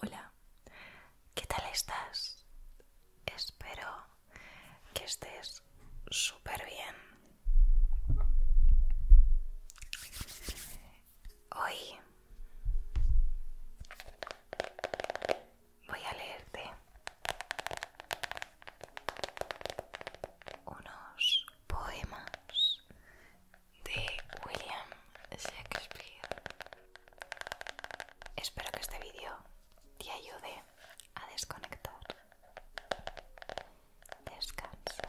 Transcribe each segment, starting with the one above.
Hola, ¿qué tal estás? Espero que estés súper bien. Hoy voy a leerte unos poemas de William Shakespeare. Espero que este vídeo te ayude a desconectar. Descansa.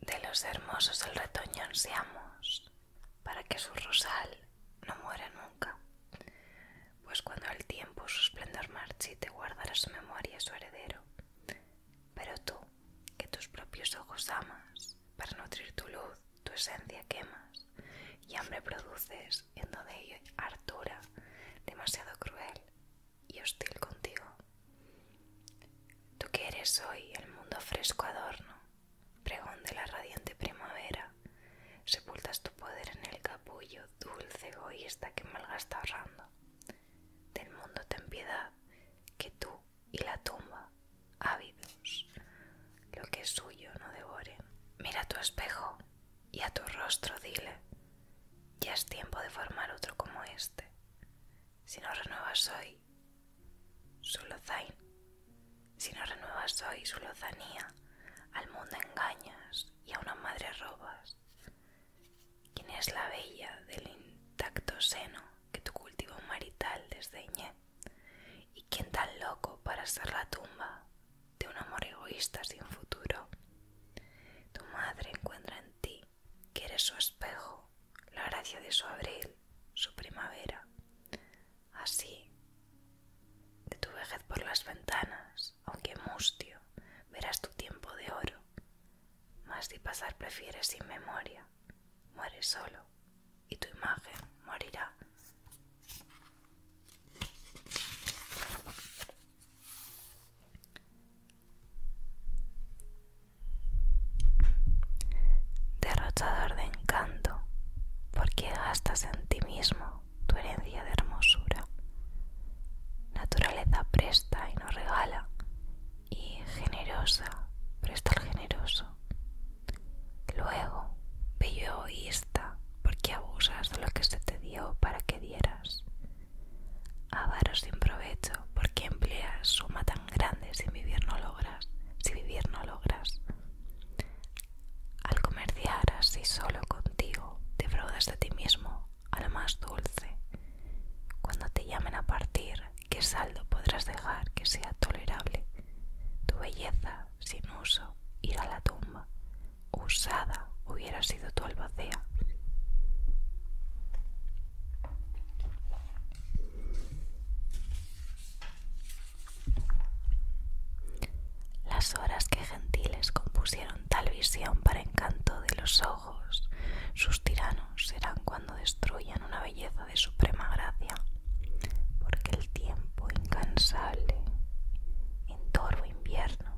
De los hermosos del retoño ansiamos para que su rosal no muera nunca, pues cuando el tiempo su esplendor te guardará su memoria su heredero. Pero tú, que tus propios ojos amas para nutrir tu luz, tu esencia quemas y hambre produces, yendo de ello hartura, demasiado cruel y hostil contigo. Tú que eres hoy el mundo fresco adorno, pregón de la radiante primavera, sepultas tu poder en el capullo dulce egoísta que malgasta ahorrando. Del mundo ten piedad, que tú y la tumba, ávidos, lo que es suyo no devoren. Mira tu espejo y a tu rostro dile, ya es tiempo de formar otro como este. Si no renuevas hoy su zain si no renuevas hoy su lozanía, al mundo engañas y a una madre robas. ¿Quién es la bella del intacto seno que tu cultivo marital desdeñé? ¿Y quién tan loco para ser la tumba de un amor egoísta sin futuro? Tu madre encuentra en ti, que eres su espejo, la gracia de su abril, su primavera. Así, de tu vejez por las ventanas, aunque mustio, verás tu tiempo de oro. Mas si pasar prefieres sin memoria, muere solo y tu imagen morirá. Derrochador de encanto, ¿por qué gastas en ti mismo tu herencia de hermosura. Naturaleza presta y nos regala y generosa, estar generoso. Luego, bello egoísta, porque abusas de lo que se te dio para que dieras. Avaro sin provecho, porque empleas suma tan grande si vivir no logras, si vivir no logras. Al comerciar así solo contigo, te fraudas de ti mismo a lo más dulce. Cuando te llamen a partir, ¿Qué saldo podrás dejar que sea tolerable? Tu belleza, sin uso, ir a la tumba. Usada hubiera sido tu albacea. Las horas que gentiles compusieron tal visión para encanto de los ojos, sus tiranos serán destruyan una belleza de suprema gracia, porque el tiempo incansable, en invierno,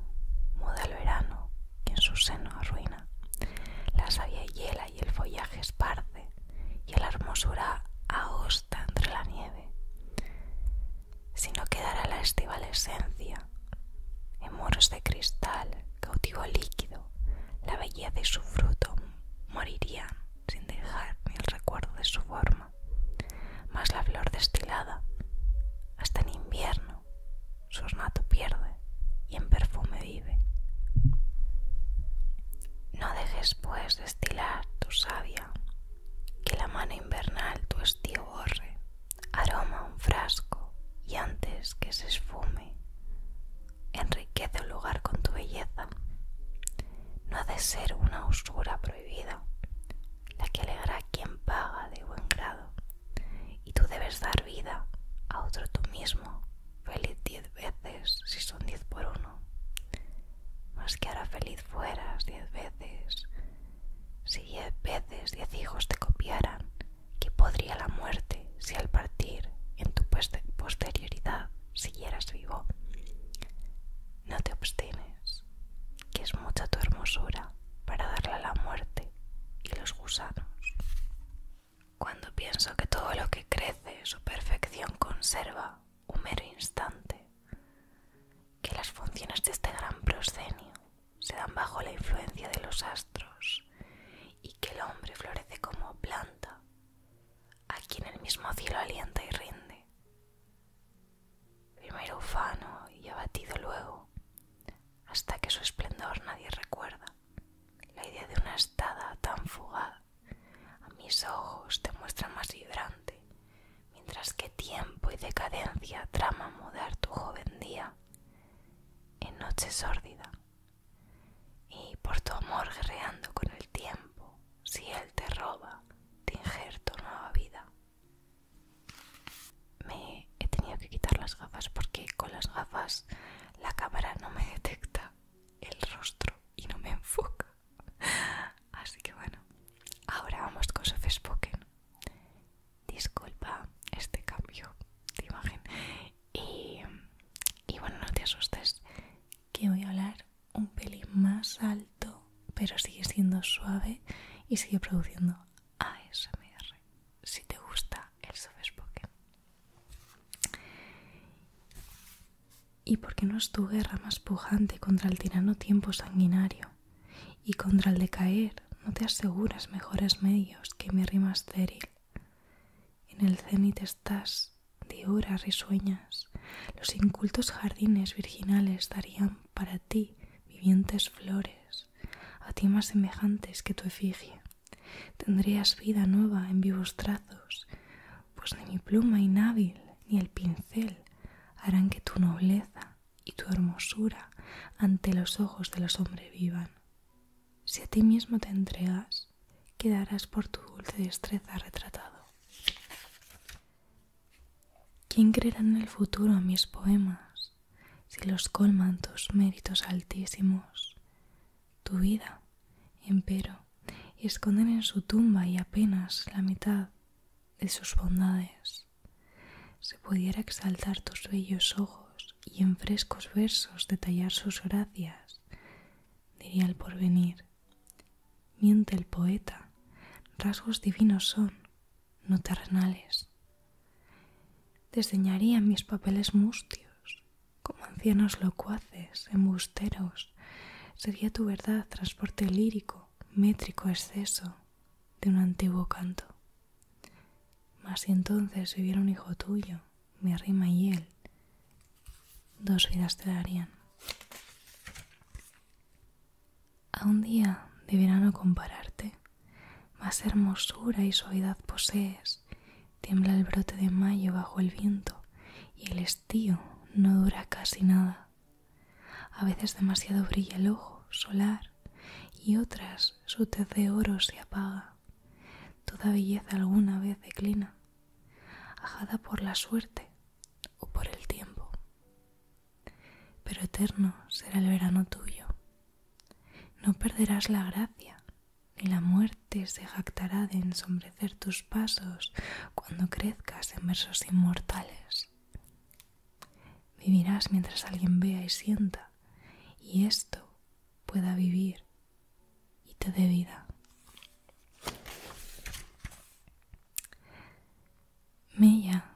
muda el verano, que en su seno arruina, la savia hiela y el follaje esparce, y la hermosura augusta entre la nieve, sino quedará la esencia en muros de cristal cautivo líquido, la belleza de su fruto moriría sin dejar ni el recuerdo de su forma, mas la flor destilada, hasta en invierno, su ornato pierde y en perfume vive. No dejes pues destilar tu savia, que la mano invernal tu estío borre, aroma un frasco y antes que se esfume, enriquece el lugar con tu belleza. No ha de ser una usura prohibida, la que alegra quien paga de buen grado, y tú debes dar vida a otro tú mismo, feliz diez veces si son diez por uno, más que ahora feliz fueras diez veces si diez veces diez hijos te copiaran ¿Qué podría la muerte si al partir en tu posterioridad siguieras vivo? No te obstines, que es mucha tu hermosura para darle a la muerte y los gusanos. Cuando pienso que todo lo que crece su perfección conserva un mero instante, que las funciones de este gran proscenio se dan bajo la influencia de los astros y que el hombre florece como planta a quien el mismo cielo alienta y rinde. Primero ufano y abatido luego, hasta que su esplendor nadie recuerda. La idea de una estada tan fugaz a mis ojos te muestra más vibrante, mientras que tiempo y decadencia traman mudar tu joven día en noche sórdida. Y por tu amor guerreando con el tiempo, si él te roba, te tu nueva vida. Me he tenido que quitar las gafas porque con las gafas la cámara no me detecta el rostro y no me enfoca. Así que bueno, ahora vamos con Sofespoken. Disculpa este cambio de imagen y, bueno, no te asustes, que voy a hablar un pelín más alto, pero sigue siendo suave y sigue produciendo ASMR. Si te gusta el soft ¿Y por qué no es tu guerra más pujante contra el tirano tiempo sanguinario? Y contra el decaer no te aseguras mejores medios que mi rima estéril en el cenit estás, de horas risueñas, los incultos jardines virginales darían para ti vivientes flores, a ti más semejantes que tu efigie. Tendrías vida nueva en vivos trazos, pues ni mi pluma inhábil ni el pincel harán que tu nobleza y tu hermosura ante los ojos de los hombres vivan. Si a ti mismo te entregas, quedarás por tu dulce destreza retratado. ¿Quién creerá en el futuro a mis poemas si los colman tus méritos altísimos? Tu vida, empero, y esconden en su tumba y apenas la mitad de sus bondades. Se pudiera exaltar tus bellos ojos y en frescos versos detallar sus gracias, diría el porvenir. Miente el poeta, rasgos divinos son, no terrenales. Desdeñarían mis papeles mustios, como ancianos locuaces, embusteros, sería tu verdad transporte lírico, métrico exceso de un antiguo canto. Mas si entonces hubiera un hijo tuyo, mi rima y él, dos vidas te darían. A un día de verano compararte, más hermosura y suavidad posees, tiembla el brote de mayo bajo el viento y el estío no dura casi nada. A veces demasiado brilla el ojo solar y otras su tez de oro se apaga toda belleza alguna vez declina, ajada por la suerte o por el tiempo. Pero eterno será el verano tuyo. No perderás la gracia, ni la muerte se jactará de ensombrecer tus pasos cuando crezcas en versos inmortales. Vivirás mientras alguien vea y sienta, y esto pueda vivir y te dé vida. Mella,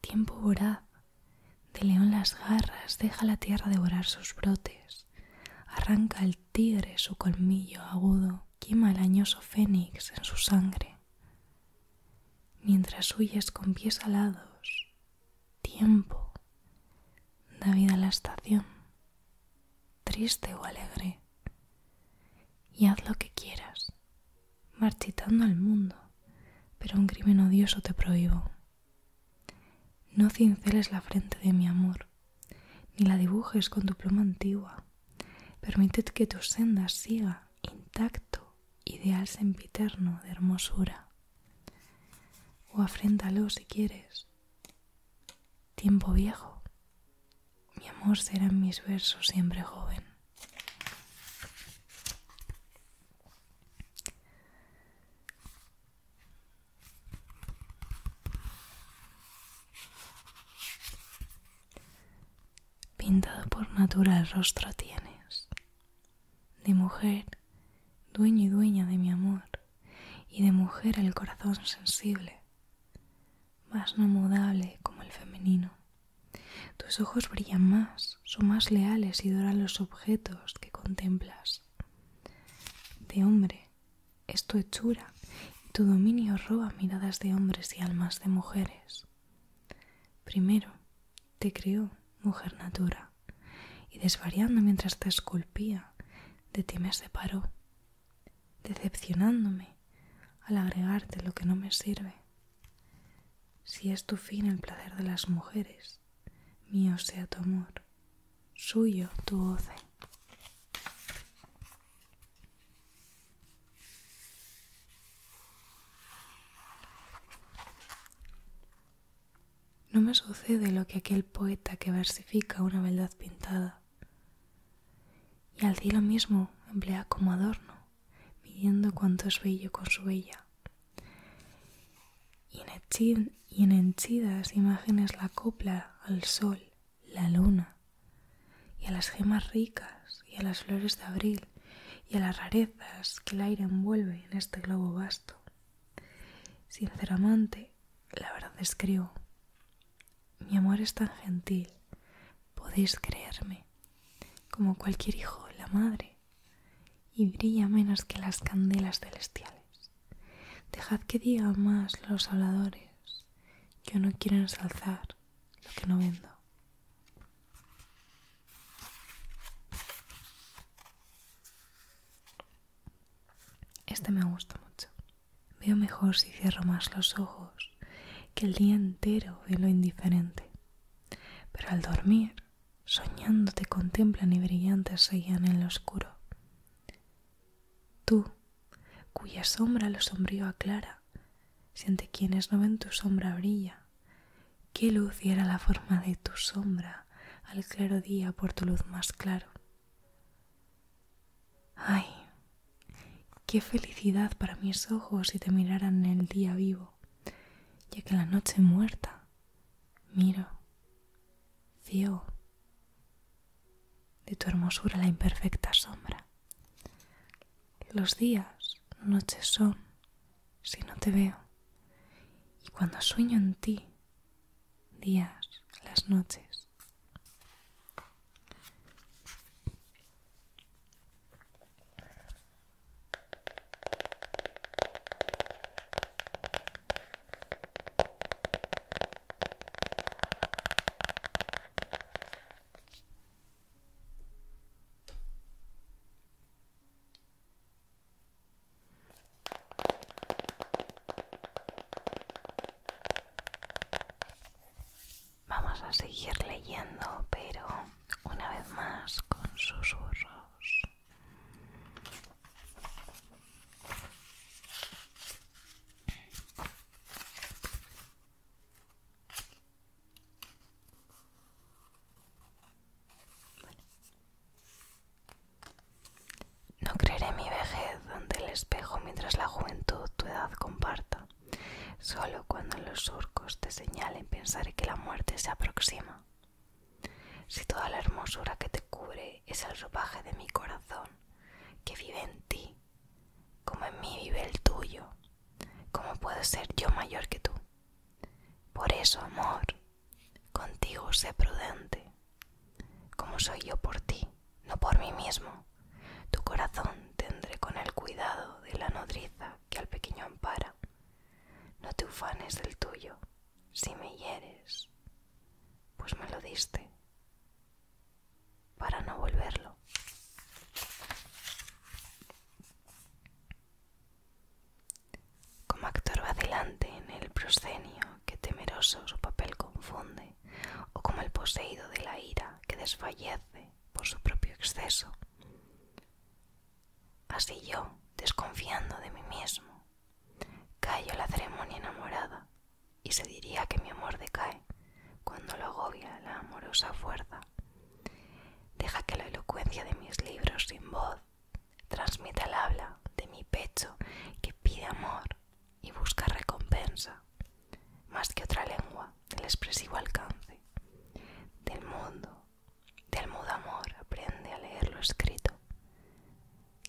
tiempo voraz, de león las garras, deja la tierra devorar sus brotes, arranca el tigre su colmillo agudo, quema el añoso fénix en su sangre. Mientras huyes con pies alados, tiempo da vida a la estación, triste o alegre, y haz lo que quieras, marchitando al mundo, pero un crimen odioso te prohíbo. No cinceles la frente de mi amor, ni la dibujes con tu pluma antigua. Permitid que tu senda siga intacto, ideal sempiterno de hermosura. O afréntalo si quieres. Tiempo viejo. Mi amor será en mis versos siempre joven. Pintado por natura el rostro tienes, de mujer, dueño y dueña de mi amor, y de mujer el corazón sensible, más no mudable como el femenino. Tus ojos brillan más, son más leales y doran los objetos que contemplas. De hombre es tu hechura y tu dominio roba miradas de hombres y almas de mujeres. Primero te creó mujer natura y desvariando mientras te esculpía, de ti me separó, decepcionándome al agregarte lo que no me sirve. Si es tu fin el placer de las mujeres, mío sea tu amor, suyo tu goce. No me sucede lo que aquel poeta que versifica una beldad pintada. Y al cielo mismo emplea como adorno, midiendo cuánto es bello con su bella. Y en, enchidas y imágenes la copla al sol, la luna, y a las gemas ricas, y a las flores de abril, y a las rarezas que el aire envuelve en este globo vasto. Sinceramente, la verdad escribo. Mi amor es tan gentil, podéis creerme, como cualquier hijo la madre, y brilla menos que las candelas celestiales. Dejad que digan más los habladores. Que no quiero ensalzar lo que no vendo. Este me gusta mucho. Veo mejor si cierro más los ojos que el día entero en lo indiferente. Pero al dormir, soñando te contemplan y brillantes se en lo oscuro. Tú, cuya sombra lo sombrío aclara, siente quienes no ven tu sombra brilla ¿Qué luz era la forma de tu sombra al claro día por tu luz más claro? ¡Ay! ¡Qué felicidad para mis ojos si te miraran en el día vivo! Ya que la noche muerta miro, ciego, de tu hermosura la imperfecta sombra. Los días, noches son, si no te veo. Y cuando sueño en ti, días, las noches. Vamos a seguir leyendo, pero una vez más con susurros. No creeré mi vejez donde el espejo mientras la juventud tu edad comparta. Solo cuando los surcos te señalen pensaré que la muerte se aproxima. Si toda la hermosura que te cubre es el ropaje de mi corazón, que vive en ti, como en mí vive el tuyo, ¿cómo puedo ser yo mayor que tú? Por eso, amor, contigo sé prudente, como soy yo por ti, no por mí mismo. Tu corazón tendré con el cuidado de la nodriza que al pequeño ampara. No te ufanes del tuyo, si me hieres, pues me lo diste, para no volverlo. Como actor adelante en el proscenio que temeroso su papel confunde, o como el poseído de la ira que desfallece por su propio exceso. Así yo, desconfiando de mí mismo, callo la ceremonia enamorada y se diría que mi amor decae cuando lo agobia la amorosa fuerza Deja que la elocuencia de mis libros sin voz transmita el habla de mi pecho que pide amor y busca recompensa, más que otra lengua del expresivo alcance. Del mundo, del mudo amor, aprende a leer lo escrito,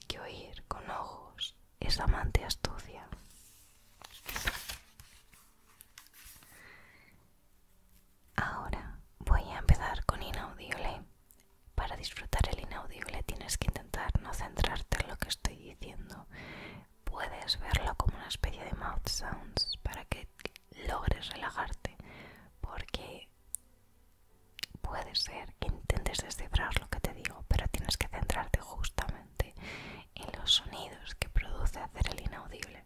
que oír con ojos es amante astucia. Ahora voy a empezar con inaudible. Para disfrutar el inaudible tienes que intentar no centrarte en lo que estoy diciendo. Puedes verlo como una especie de mouth sounds para que logres relajarte, porque puede ser que intentes descifrar lo que te digo, pero tienes que centrarte justamente en los sonidos que produce hacer el inaudible.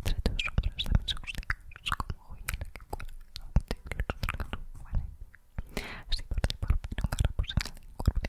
entre tus hombros de mis costillas, como joyela que cura, abunde los regalos humanos. Así por ti, por mí, nunca repuse en el cuerpo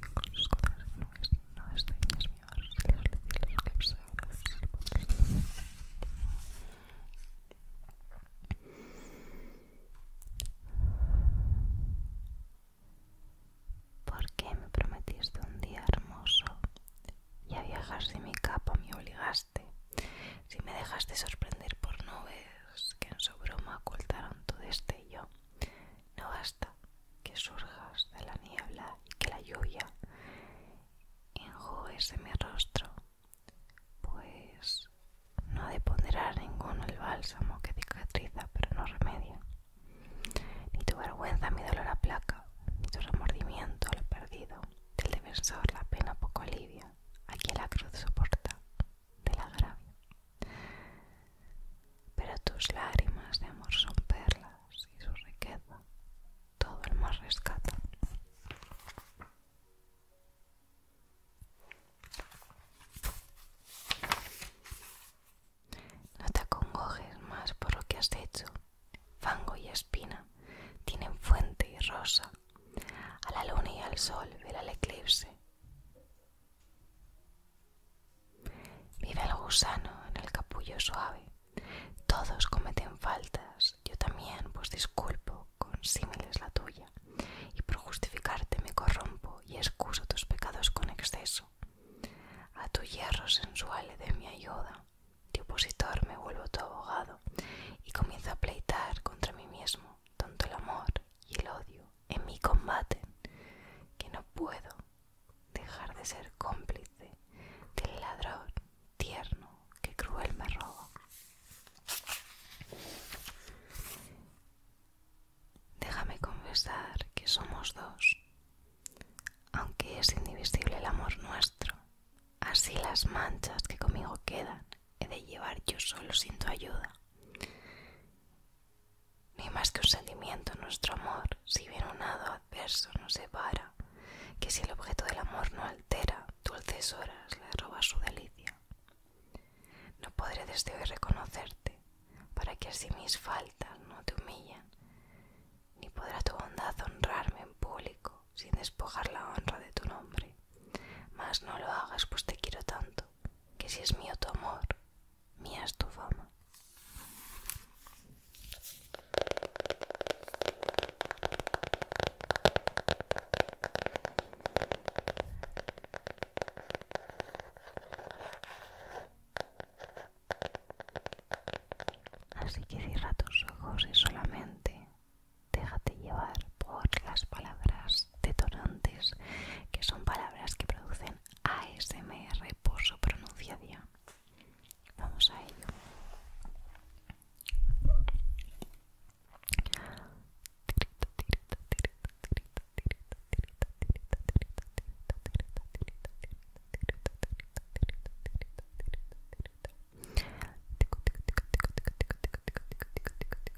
no ¿Por qué me prometiste un día hermoso y a viajar sin mi capa me obligaste? Si me dejaste sorprender por nubes que en su broma ocultaron tu destello, no basta que surjas de la niebla y que la lluvia de mi rostro, pues no de ponderar ninguno el bálsamo que cicatriza pero no remedia. Ni tu vergüenza mi dolor aplaca, ni tu remordimiento lo perdido, del defensor la pena poco alivia, aquí la cruz soporta del agravio. Pero tus lágrimas de amor son perlas y su riqueza todo el mar rescata. No te acongojes más por lo que has hecho. Fango y espina tienen fuente y rosa. A la luna y al sol ver el eclipse. Vive el gusano en el capullo suave. Todos cometen faltas, yo también, pues disculpo con símiles la tuya, y por justificarte me corrompo y excuso tus pecados con exceso. A tu hierro sensual le de mi ayuda, de opositor me vuelvo tu abogado, y comienzo a pleitar contra mí mismo, tanto el amor y el odio en mi combate que no puedo dejar de ser cómplice del ladrón tierno que cruel me roba. Déjame confesar que somos dos, aunque es indivisible el amor nuestro, así las manchas que conmigo quedan he de llevar yo solo sin tu ayuda ni más que un sentimiento nuestro amor, si bien un hado adverso nos separa, que si el objeto del amor no altera, dulces horas le roba su delicia. No podré desde hoy reconocerte, para que así mis faltas no te humillan, ni podrá tu bondad honrarme en público sin despojar la honra de tu nombre. Mas no lo hagas, pues te quiero tanto que si es mío tu amor, mía es tu fama. Así que cierra tus ojos y solamente déjate llevar por las palabras detonantes, que son palabras que producen ASMR por su pronunciación. Vamos a ello.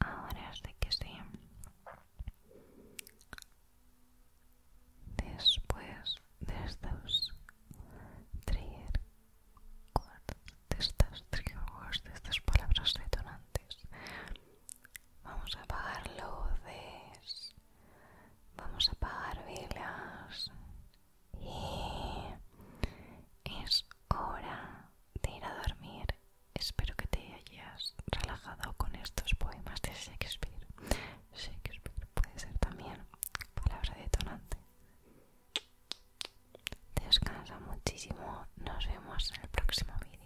Ahora sí que sí. Después de estos tres de estas tribus, de estas palabras detonantes. Vamos a apagar luces, vamos a apagar velas y es hora de ir a dormir. Espero que te hayas relajado con estos poemas de Shakespeare. Shakespeare puede ser también palabra detonante. Descansa muchísimo. Nos vemos en el próximo vídeo.